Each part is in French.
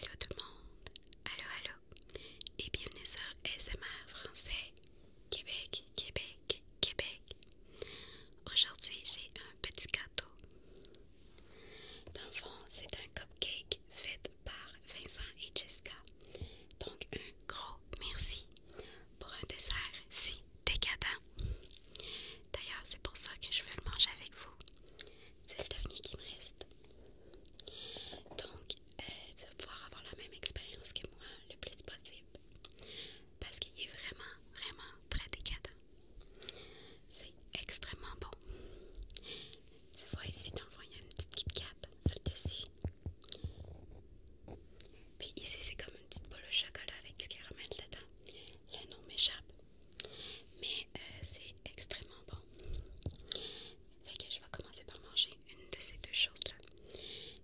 Allô tout le monde, allô allô, et bienvenue sur ASMR français, Québec, Québec, Québec. Aujourd'hui j'ai un petit gâteau. Dans le fond, c'est un cupcake fait par Vincent et Jessica. Donc un gros merci pour un dessert si décadent. D'ailleurs, c'est pour ça que je veux le manger avec vous c'est le dernier qui me reste. Donc, euh, tu vas pouvoir avoir la même expérience que moi le plus possible. Parce qu'il est vraiment, vraiment très décadent. C'est extrêmement bon. Tu vois ici, dans le il y a une petite Kit Kat sur le dessus. Puis ici, c'est comme une petite boule au chocolat avec du caramel dedans. Le nom m'échappe, mais euh, c'est extrêmement bon. je vais commencer par manger une de ces deux choses-là.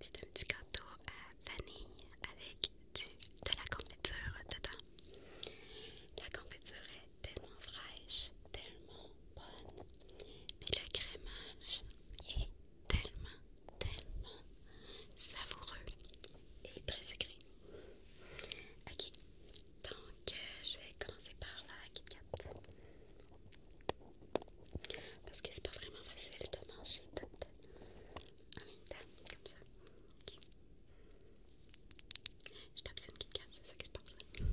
C'est un petit gâteau à vanille avec de la confiture dedans. La confiture est tellement fraîche, tellement bonne. Mais le crémage est tellement, tellement savoureux et très sucré. Ok, donc, euh, je vais commencer par la Kit Parce que c'est pas vraiment facile de manger toutes en même temps, comme ça. ok? Je tape sur une Kit c'est ça qui se passe.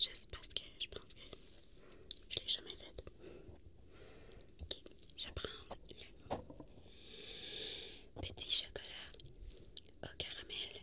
Juste parce que je pense que je l'ai jamais fait. Ok, le petit chocolat au caramel.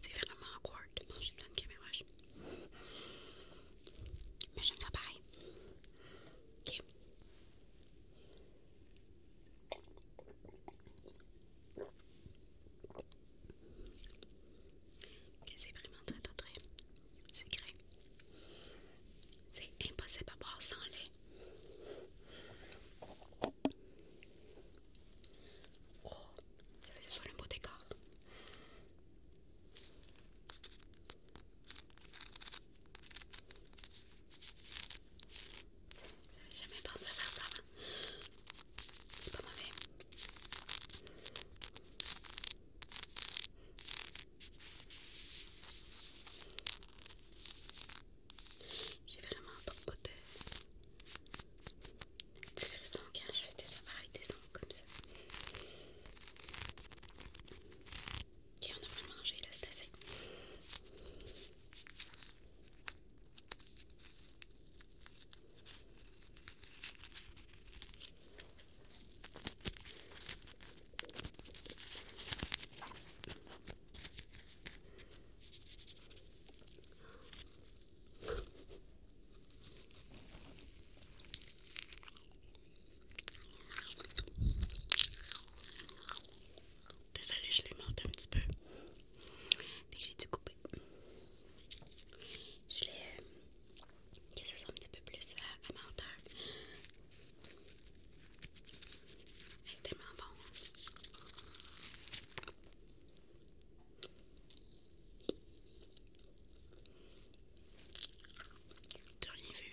C'est vraiment awkward de manger dans une caméra. Mais j'aime ça pareil. OK. c'est vraiment très très très secret. C'est impossible à boire sans lait. Oh, ça faisait faire un beau décor. n'ai jamais pensé à faire ça C'est pas mauvais. J'ai vraiment un ton hôtel. C'est frisant hein, je fais des appareils des ongles comme ça. Ok, on a vraiment mangé là, c'est assez. Désolée, je l'ai monté un petit peu. dès j'ai dû couper. Je l'ai. que ce soit un petit peu plus à, c'est tellement bon. T'as rien vu.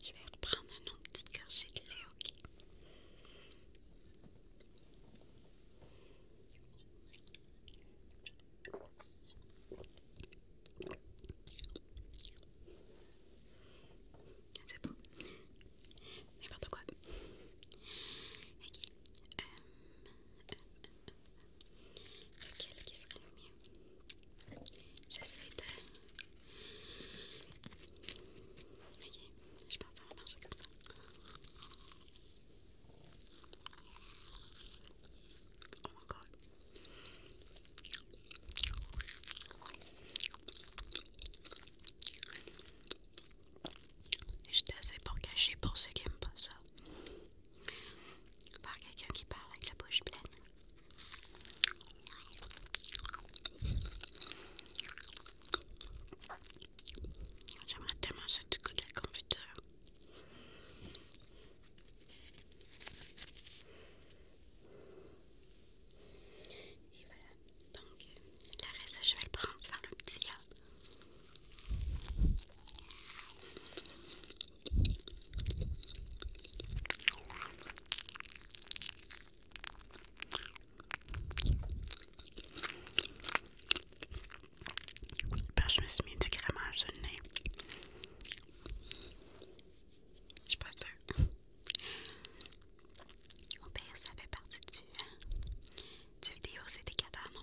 Je vais reprendre une autre petite gorgée de lait, ok? C'est bon? N'importe quoi. Ok. euh. euh, euh Lequel qui serait le mieux J'essaie de... Ok, je pense en ça va marcher comme ça. Oh mon god. J'étais assez pour cacher pour ceux qui aiment pas ça par quelqu'un qui parle avec la bouche pleine. J'aimerais tellement ça du coup de la computer. Et voilà, donc la reste je vais le prendre dans le petit gars. Parce je me suis mis du crémage sur le nez. Je suis pas sûre. Au pire, ça fait partie du, euh, du vidéo, c'était des non?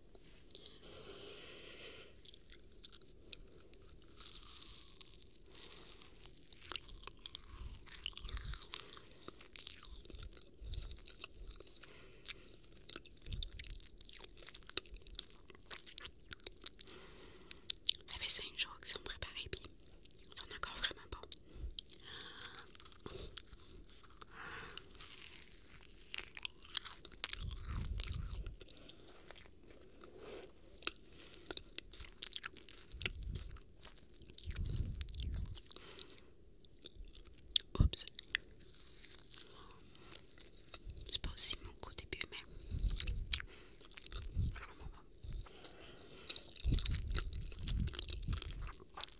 Ça fait jours qu'ils sont préparés, puis ils sont encore vraiment pas c'est pas aussi mon côté mais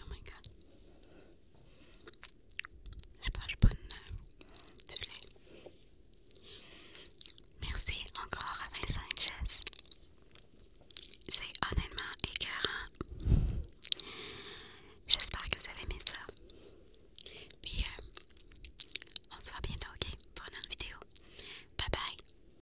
Oh my god. Je mange bonne euh, Merci encore à Vincent Jess. C'est honnêtement écœurant. J'espère que vous avez aimé ça. Puis, euh, on se voit bientôt, ok, pour une autre vidéo. Bye bye!